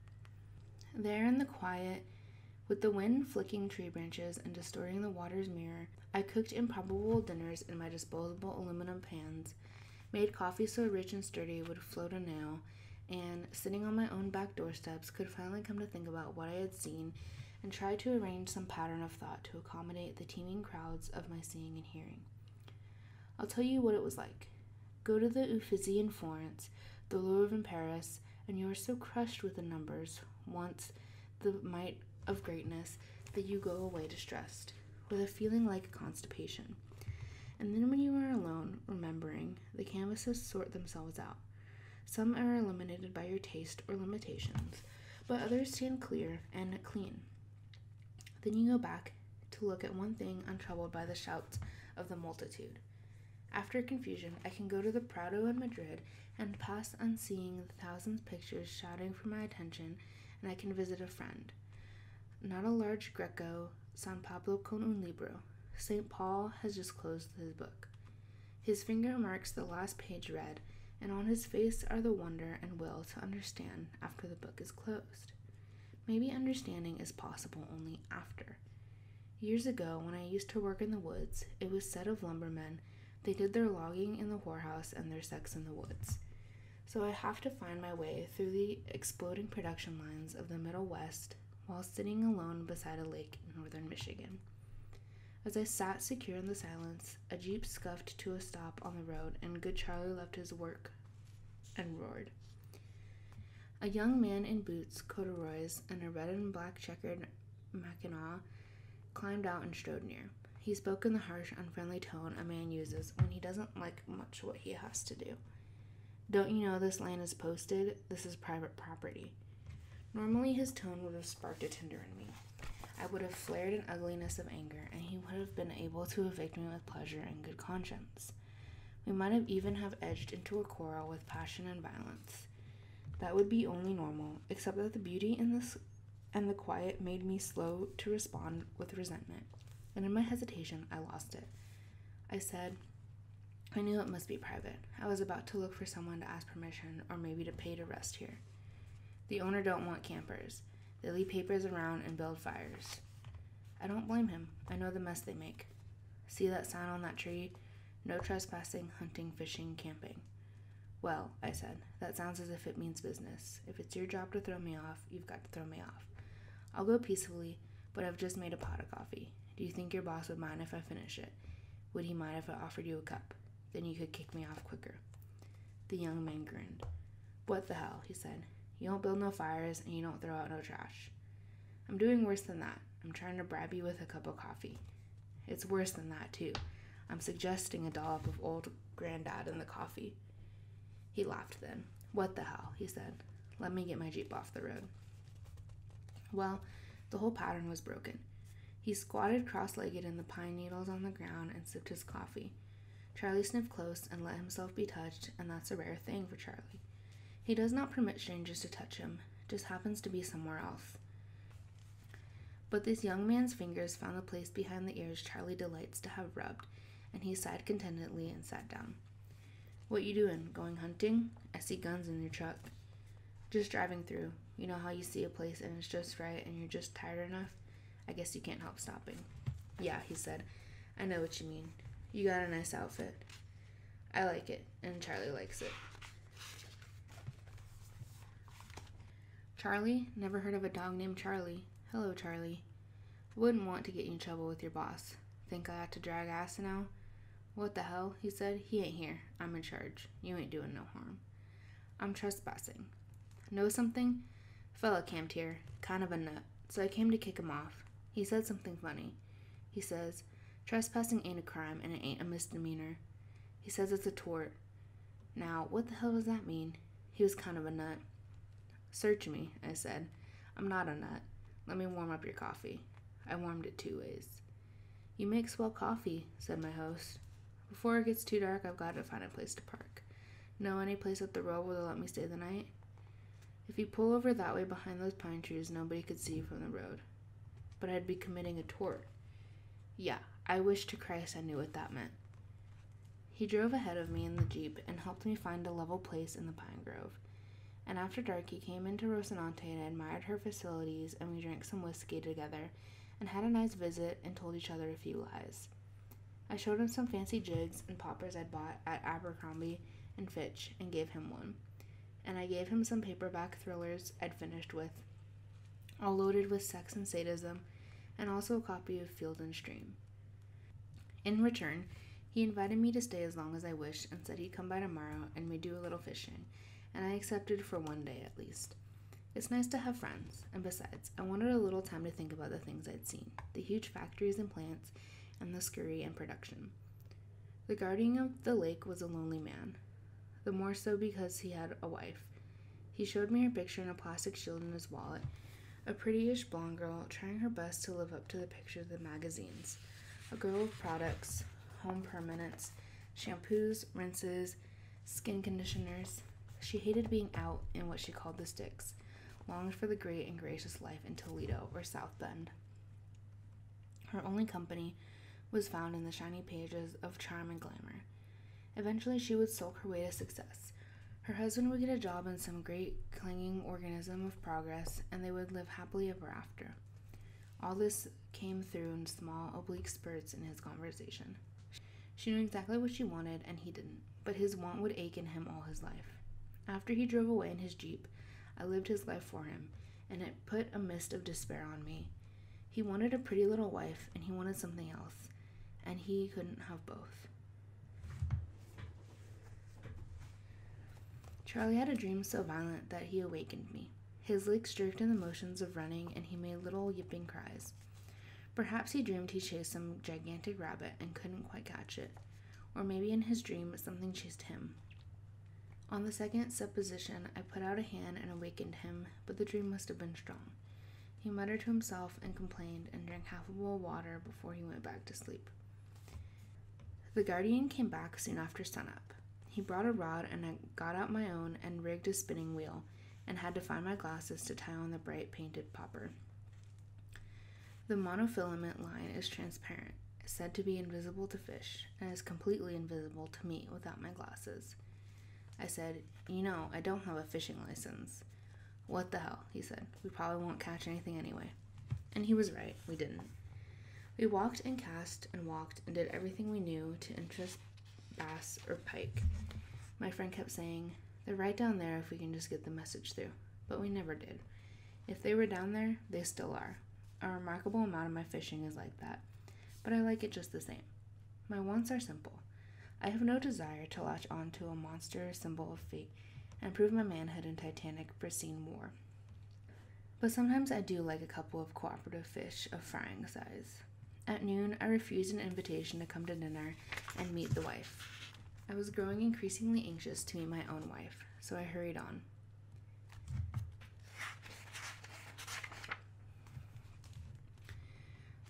A: There, in the quiet, with the wind flicking tree branches and distorting the water's mirror, I cooked improbable dinners in my disposable aluminum pans, made coffee so rich and sturdy it would float a nail, and, sitting on my own back doorsteps, could finally come to think about what I had seen and try to arrange some pattern of thought to accommodate the teeming crowds of my seeing and hearing. I'll tell you what it was like. Go to the Uffizi in Florence, the Louvre in Paris, and you are so crushed with the numbers, once the might of greatness that you go away distressed, with a feeling like constipation. And then when you are alone, remembering, the canvases sort themselves out. Some are eliminated by your taste or limitations, but others stand clear and clean. Then you go back to look at one thing untroubled by the shouts of the multitude. After confusion, I can go to the Prado in Madrid and pass unseeing the thousands pictures shouting for my attention, and I can visit a friend. Not a large Greco, San Pablo con un libro. St. Paul has just closed his book. His finger marks the last page read, and on his face are the wonder and will to understand after the book is closed. Maybe understanding is possible only after. Years ago, when I used to work in the woods, it was said of lumbermen they did their logging in the whorehouse and their sex in the woods. So I have to find my way through the exploding production lines of the Middle West while sitting alone beside a lake in northern Michigan. As I sat secure in the silence, a jeep scuffed to a stop on the road and good Charlie left his work and roared. A young man in boots, corduroys, and a red and black checkered mackinaw climbed out and strode near. He spoke in the harsh, unfriendly tone a man uses when he doesn't like much what he has to do. Don't you know this land is posted? This is private property. Normally, his tone would have sparked a tinder in me. I would have flared an ugliness of anger, and he would have been able to evict me with pleasure and good conscience. We might have even have edged into a quarrel with passion and violence. That would be only normal, except that the beauty in this and the quiet made me slow to respond with resentment, and in my hesitation I lost it. I said, I knew it must be private. I was about to look for someone to ask permission or maybe to pay to rest here. The owner don't want campers. They leave papers around and build fires. I don't blame him. I know the mess they make. See that sign on that tree? No trespassing, hunting, fishing, camping. Well, I said, that sounds as if it means business. If it's your job to throw me off, you've got to throw me off. I'll go peacefully, but I've just made a pot of coffee. Do you think your boss would mind if I finish it? Would he mind if I offered you a cup? Then you could kick me off quicker. The young man grinned. What the hell, he said. You don't build no fires and you don't throw out no trash. I'm doing worse than that. I'm trying to bribe you with a cup of coffee. It's worse than that, too. I'm suggesting a dollop of old granddad and the coffee. He laughed then. What the hell? he said. Let me get my Jeep off the road. Well, the whole pattern was broken. He squatted cross legged in the pine needles on the ground and sipped his coffee. Charlie sniffed close and let himself be touched, and that's a rare thing for Charlie. He does not permit strangers to touch him, just happens to be somewhere else. But this young man's fingers found the place behind the ears Charlie delights to have rubbed, and he sighed contentedly and sat down. What you doing? Going hunting? I see guns in your truck. Just driving through. You know how you see a place and it's just right and you're just tired enough? I guess you can't help stopping. Yeah, he said. I know what you mean. You got a nice outfit. I like it, and Charlie likes it. Charlie? Never heard of a dog named Charlie. Hello, Charlie. wouldn't want to get you in trouble with your boss. Think I ought to drag ass now? What the hell? He said. He ain't here. I'm in charge. You ain't doing no harm. I'm trespassing. Know something? Fella camped here, kind of a nut, so I came to kick him off. He said something funny. He says, Trespassing ain't a crime and it ain't a misdemeanor. He says it's a tort. Now, what the hell does that mean? He was kind of a nut. Search me, I said. I'm not a nut. Let me warm up your coffee. I warmed it two ways. You make swell coffee, said my host. Before it gets too dark, I've got to find a place to park. Know any place up the road where they'll let me stay the night? If you pull over that way behind those pine trees, nobody could see you from the road. But I'd be committing a tort. Yeah, I wish to Christ I knew what that meant. He drove ahead of me in the Jeep and helped me find a level place in the pine grove. And after dark, he came into Rocinante and admired her facilities, and we drank some whiskey together and had a nice visit and told each other a few lies. I showed him some fancy jigs and poppers I'd bought at Abercrombie and Fitch and gave him one. And I gave him some paperback thrillers I'd finished with all loaded with sex and sadism, and also a copy of Field and Stream. In return, he invited me to stay as long as I wished and said he'd come by tomorrow and we'd do a little fishing, and I accepted for one day at least. It's nice to have friends, and besides, I wanted a little time to think about the things I'd seen the huge factories and plants, and the scurry and production. The guardian of the lake was a lonely man, the more so because he had a wife, he showed me a picture in a plastic shield in his wallet, a prettyish blonde girl trying her best to live up to the pictures of the magazines. A girl of products, home permanents, shampoos, rinses, skin conditioners. She hated being out in what she called the sticks, longed for the great and gracious life in Toledo or South Bend. Her only company was found in the shiny pages of Charm and Glamour. Eventually, she would sulk her way to success. Her husband would get a job in some great clanging organism of progress, and they would live happily ever after. All this came through in small, oblique spurts in his conversation. She knew exactly what she wanted, and he didn't, but his want would ache in him all his life. After he drove away in his Jeep, I lived his life for him, and it put a mist of despair on me. He wanted a pretty little wife, and he wanted something else and he couldn't have both. Charlie had a dream so violent that he awakened me. His legs jerked in the motions of running, and he made little yipping cries. Perhaps he dreamed he chased some gigantic rabbit and couldn't quite catch it, or maybe in his dream something chased him. On the second supposition, I put out a hand and awakened him, but the dream must have been strong. He muttered to himself and complained, and drank half a bowl of water before he went back to sleep. The guardian came back soon after sunup. He brought a rod, and I got out my own and rigged a spinning wheel, and had to find my glasses to tie on the bright painted popper. The monofilament line is transparent, said to be invisible to fish, and is completely invisible to me without my glasses. I said, You know, I don't have a fishing license. What the hell? He said. We probably won't catch anything anyway. And he was right. We didn't. We walked and cast and walked and did everything we knew to interest bass or pike. My friend kept saying, They're right down there if we can just get the message through. But we never did. If they were down there, they still are. A remarkable amount of my fishing is like that. But I like it just the same. My wants are simple. I have no desire to latch on to a monstrous symbol of fate and prove my manhood in Titanic Brissine War. But sometimes I do like a couple of cooperative fish of frying size. At noon, I refused an invitation to come to dinner and meet the wife. I was growing increasingly anxious to meet my own wife, so I hurried on.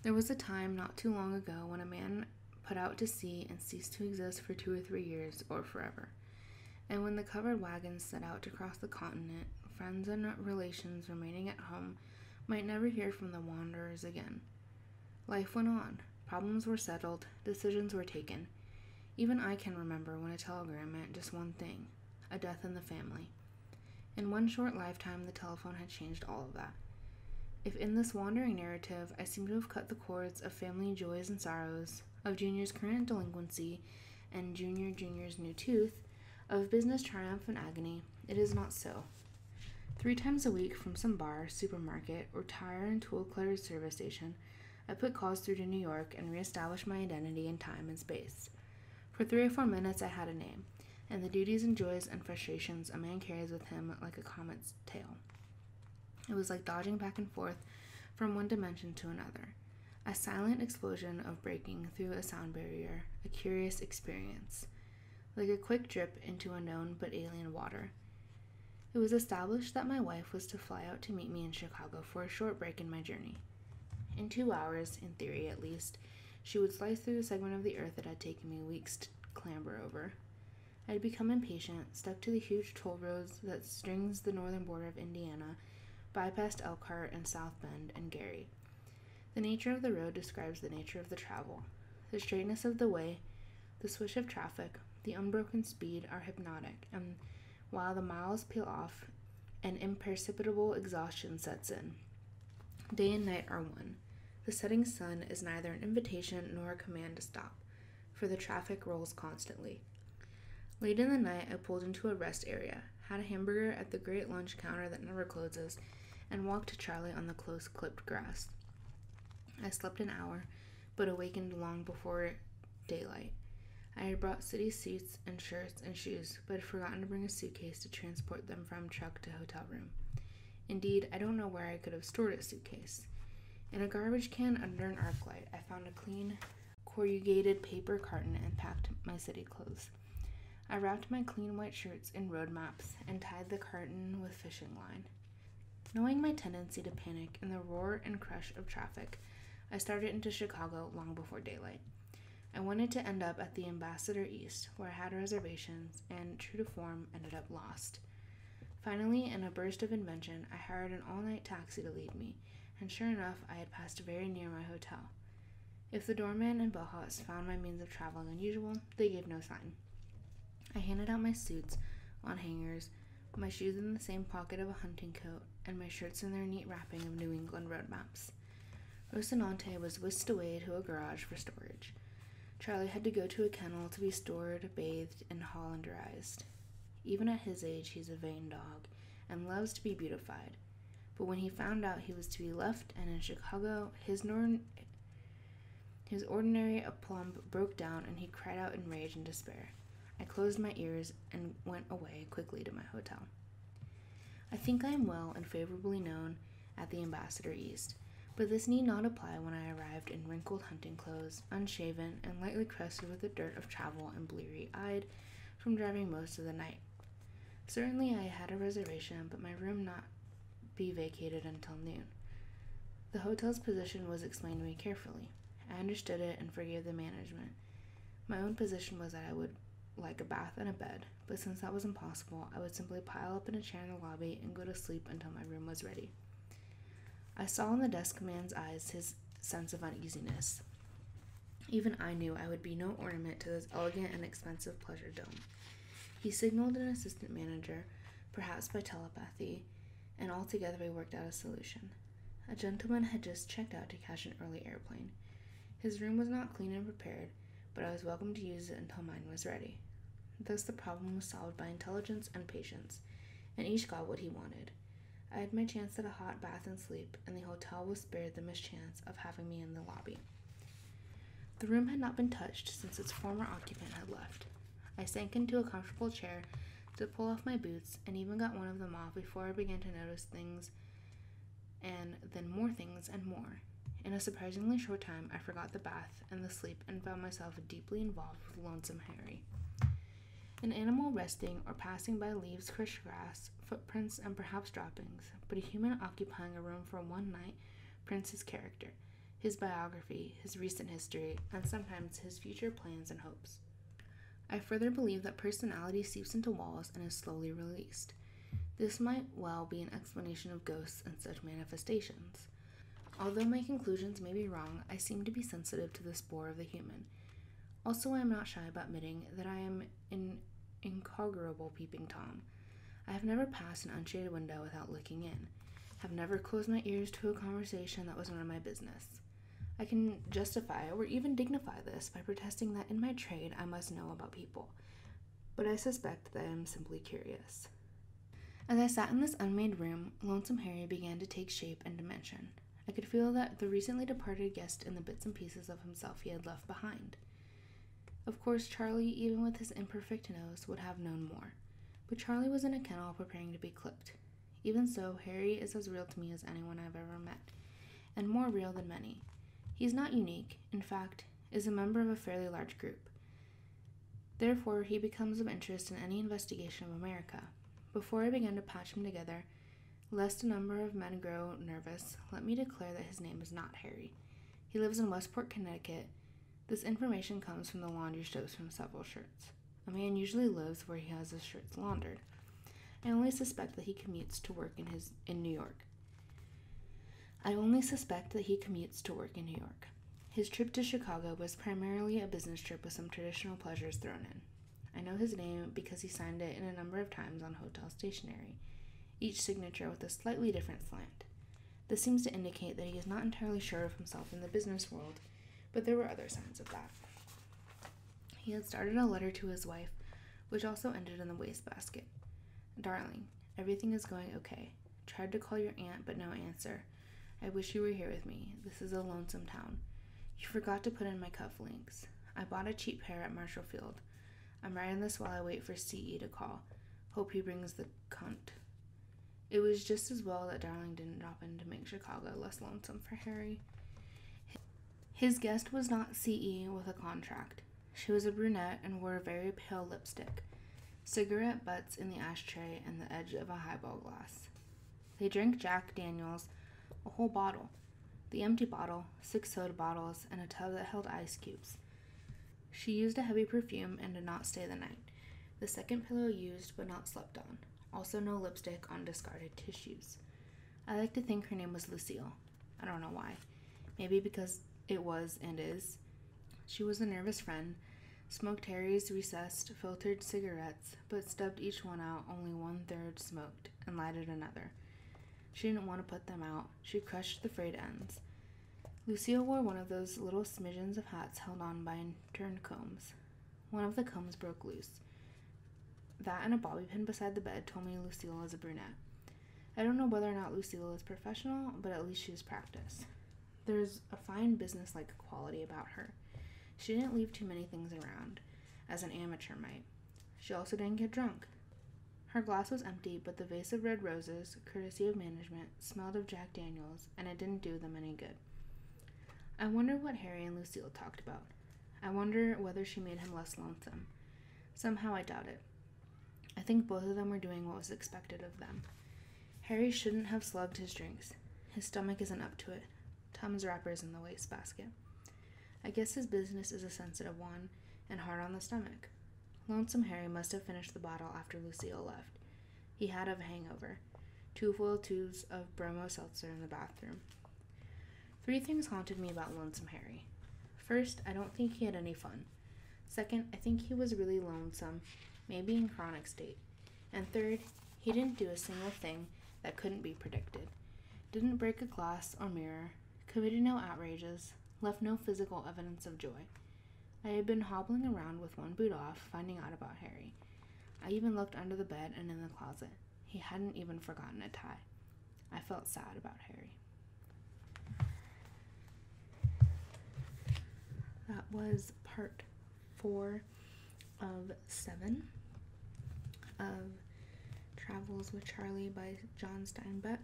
A: There was a time not too long ago when a man put out to sea and ceased to exist for two or three years or forever. And when the covered wagons set out to cross the continent, friends and relations remaining at home might never hear from the wanderers again. Life went on, problems were settled, decisions were taken. Even I can remember when a telegram meant just one thing a death in the family. In one short lifetime, the telephone had changed all of that. If in this wandering narrative I seem to have cut the cords of family joys and sorrows, of Junior's current delinquency and Junior Junior's new tooth, of business triumph and agony, it is not so. Three times a week from some bar, supermarket, or tire and tool cluttered service station, I put calls through to New York and reestablished my identity in time and space. For three or four minutes, I had a name and the duties and joys and frustrations a man carries with him like a comet's tail. It was like dodging back and forth from one dimension to another, a silent explosion of breaking through a sound barrier, a curious experience, like a quick drip into a known but alien water. It was established that my wife was to fly out to meet me in Chicago for a short break in my journey. In two hours, in theory at least, she would slice through the segment of the earth that had taken me weeks clamber over. I had become impatient, stuck to the huge toll roads that strings the northern border of Indiana, bypassed Elkhart and South Bend and Gary. The nature of the road describes the nature of the travel. The straightness of the way, the swish of traffic, the unbroken speed are hypnotic, and while the miles peel off, an imperceptible exhaustion sets in. Day and night are one. The setting sun is neither an invitation nor a command to stop, for the traffic rolls constantly. Late in the night, I pulled into a rest area, had a hamburger at the great lunch counter that never closes, and walked to Charlie on the close clipped grass. I slept an hour, but awakened long before daylight. I had brought city suits and shirts and shoes, but had forgotten to bring a suitcase to transport them from truck to hotel room. Indeed, I don't know where I could have stored a suitcase. In a garbage can under an arc light, I found a clean, corrugated paper carton and packed my city clothes. I wrapped my clean white shirts in road maps and tied the carton with fishing line. Knowing my tendency to panic in the roar and crush of traffic, I started into Chicago long before daylight. I wanted to end up at the Ambassador East where I had reservations and, true to form, ended up lost. Finally, in a burst of invention, I hired an all night taxi to lead me, and sure enough, I had passed very near my hotel. If the doorman and bellhops found my means of traveling unusual, they gave no sign. I handed out my suits on hangers, my shoes in the same pocket of a hunting coat, and my shirts in their neat wrapping of New England road maps. Rocinante was whisked away to a garage for storage. Charlie had to go to a kennel to be stored, bathed, and Hollanderized. Even at his age, he's a vain dog and loves to be beautified. But when he found out he was to be left and in Chicago, his, nor- his ordinary aplomb broke down and he cried out in rage and despair. I closed my ears and went away quickly to my hotel. I think I am well and favorably known at the Ambassador East, but this need not apply when I arrived in wrinkled hunting clothes, unshaven, and lightly crusted with the dirt of travel and bleary eyed from driving most of the night. Certainly, I had a reservation, but my room not be vacated until noon. The hotel's position was explained to me carefully. I understood it and forgave the management. My own position was that I would like a bath and a bed, but since that was impossible, I would simply pile up in a chair in the lobby and go to sleep until my room was ready. I saw in the desk man's eyes his sense of uneasiness. Even I knew I would be no ornament to this elegant and expensive pleasure dome. He signaled an assistant manager, perhaps by telepathy, and altogether we worked out a solution. A gentleman had just checked out to catch an early airplane. His room was not clean and prepared, but I was welcome to use it until mine was ready. Thus, the problem was solved by intelligence and patience, and each got what he wanted. I had my chance at a hot bath and sleep, and the hotel was spared the mischance of having me in the lobby. The room had not been touched since its former occupant had left. I sank into a comfortable chair to pull off my boots and even got one of them off before I began to notice things and then more things and more. In a surprisingly short time, I forgot the bath and the sleep and found myself deeply involved with Lonesome Harry. An animal resting or passing by leaves, crushed grass, footprints, and perhaps droppings, but a human occupying a room for one night prints his character, his biography, his recent history, and sometimes his future plans and hopes. I further believe that personality seeps into walls and is slowly released. This might well be an explanation of ghosts and such manifestations. Although my conclusions may be wrong, I seem to be sensitive to the spoor of the human. Also, I am not shy about admitting that I am an incorrigible peeping Tom. I have never passed an unshaded window without looking in, have never closed my ears to a conversation that was none of my business. I can justify or even dignify this by protesting that in my trade I must know about people, but I suspect that I am simply curious. As I sat in this unmade room, Lonesome Harry began to take shape and dimension. I could feel that the recently departed guest in the bits and pieces of himself he had left behind. Of course, Charlie, even with his imperfect nose, would have known more. But Charlie was in a kennel preparing to be clipped. Even so, Harry is as real to me as anyone I've ever met, and more real than many. He's not unique, in fact, is a member of a fairly large group, Therefore, he becomes of interest in any investigation of America. Before I begin to patch him together, lest a number of men grow nervous, let me declare that his name is not Harry. He lives in Westport, Connecticut. This information comes from the laundry strips from several shirts. A man usually lives where he has his shirts laundered. I only suspect that he commutes to work in his in New York. I only suspect that he commutes to work in New York. His trip to Chicago was primarily a business trip with some traditional pleasures thrown in. I know his name because he signed it in a number of times on hotel stationery, each signature with a slightly different slant. This seems to indicate that he is not entirely sure of himself in the business world, but there were other signs of that. He had started a letter to his wife, which also ended in the wastebasket. Darling, everything is going okay. Tried to call your aunt, but no answer. I wish you were here with me. This is a lonesome town. You forgot to put in my cufflinks. I bought a cheap pair at Marshall Field. I'm writing this while I wait for CE to call. Hope he brings the cunt. It was just as well that Darling didn't drop in to make Chicago less lonesome for Harry. His guest was not CE with a contract. She was a brunette and wore a very pale lipstick cigarette butts in the ashtray, and the edge of a highball glass. They drank Jack Daniels, a whole bottle, the empty bottle, six soda bottles, and a tub that held ice cubes. She used a heavy perfume and did not stay the night. The second pillow used but not slept on. Also, no lipstick on discarded tissues. I like to think her name was Lucille. I don't know why. Maybe because it was and is. She was a nervous friend, smoked Harry's recessed, filtered cigarettes, but stubbed each one out, only one third smoked, and lighted another. She didn't want to put them out. She crushed the frayed ends. Lucille wore one of those little smidgens of hats held on by turned combs. One of the combs broke loose. That and a bobby pin beside the bed told me Lucille is a brunette. I don't know whether or not Lucille is professional, but at least she is practiced. There's a fine business like quality about her. She didn't leave too many things around, as an amateur might. She also didn't get drunk. Her glass was empty, but the vase of red roses, courtesy of management, smelled of Jack Daniels, and it didn't do them any good. I wonder what Harry and Lucille talked about. I wonder whether she made him less lonesome. Somehow I doubt it. I think both of them were doing what was expected of them. Harry shouldn't have slugged his drinks. His stomach isn't up to it. Tom's wrapper is in the waste basket. I guess his business is a sensitive one and hard on the stomach. Lonesome Harry must have finished the bottle after Lucille left. He had a hangover. Two foil tubes of bromo seltzer in the bathroom. Three things haunted me about Lonesome Harry. First, I don't think he had any fun. Second, I think he was really lonesome, maybe in chronic state. And third, he didn't do a single thing that couldn't be predicted. Didn't break a glass or mirror, committed no outrages, left no physical evidence of joy. I had been hobbling around with one boot off, finding out about Harry. I even looked under the bed and in the closet. He hadn't even forgotten a tie. I felt sad about Harry. That was part four of seven of Travels with Charlie by John Steinbeck,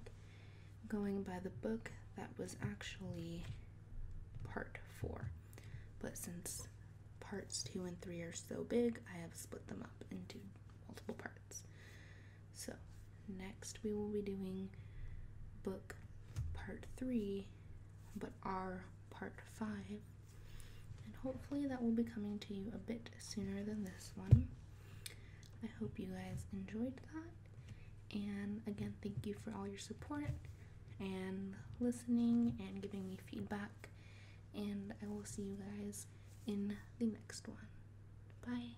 A: going by the book that was actually part four. But since parts two and three are so big, I have split them up into multiple parts. So, next we will be doing book part three but are part five. And hopefully, that will be coming to you a bit sooner than this one. I hope you guys enjoyed that. And again, thank you for all your support and listening and giving me feedback. And I will see you guys in the next one. Bye.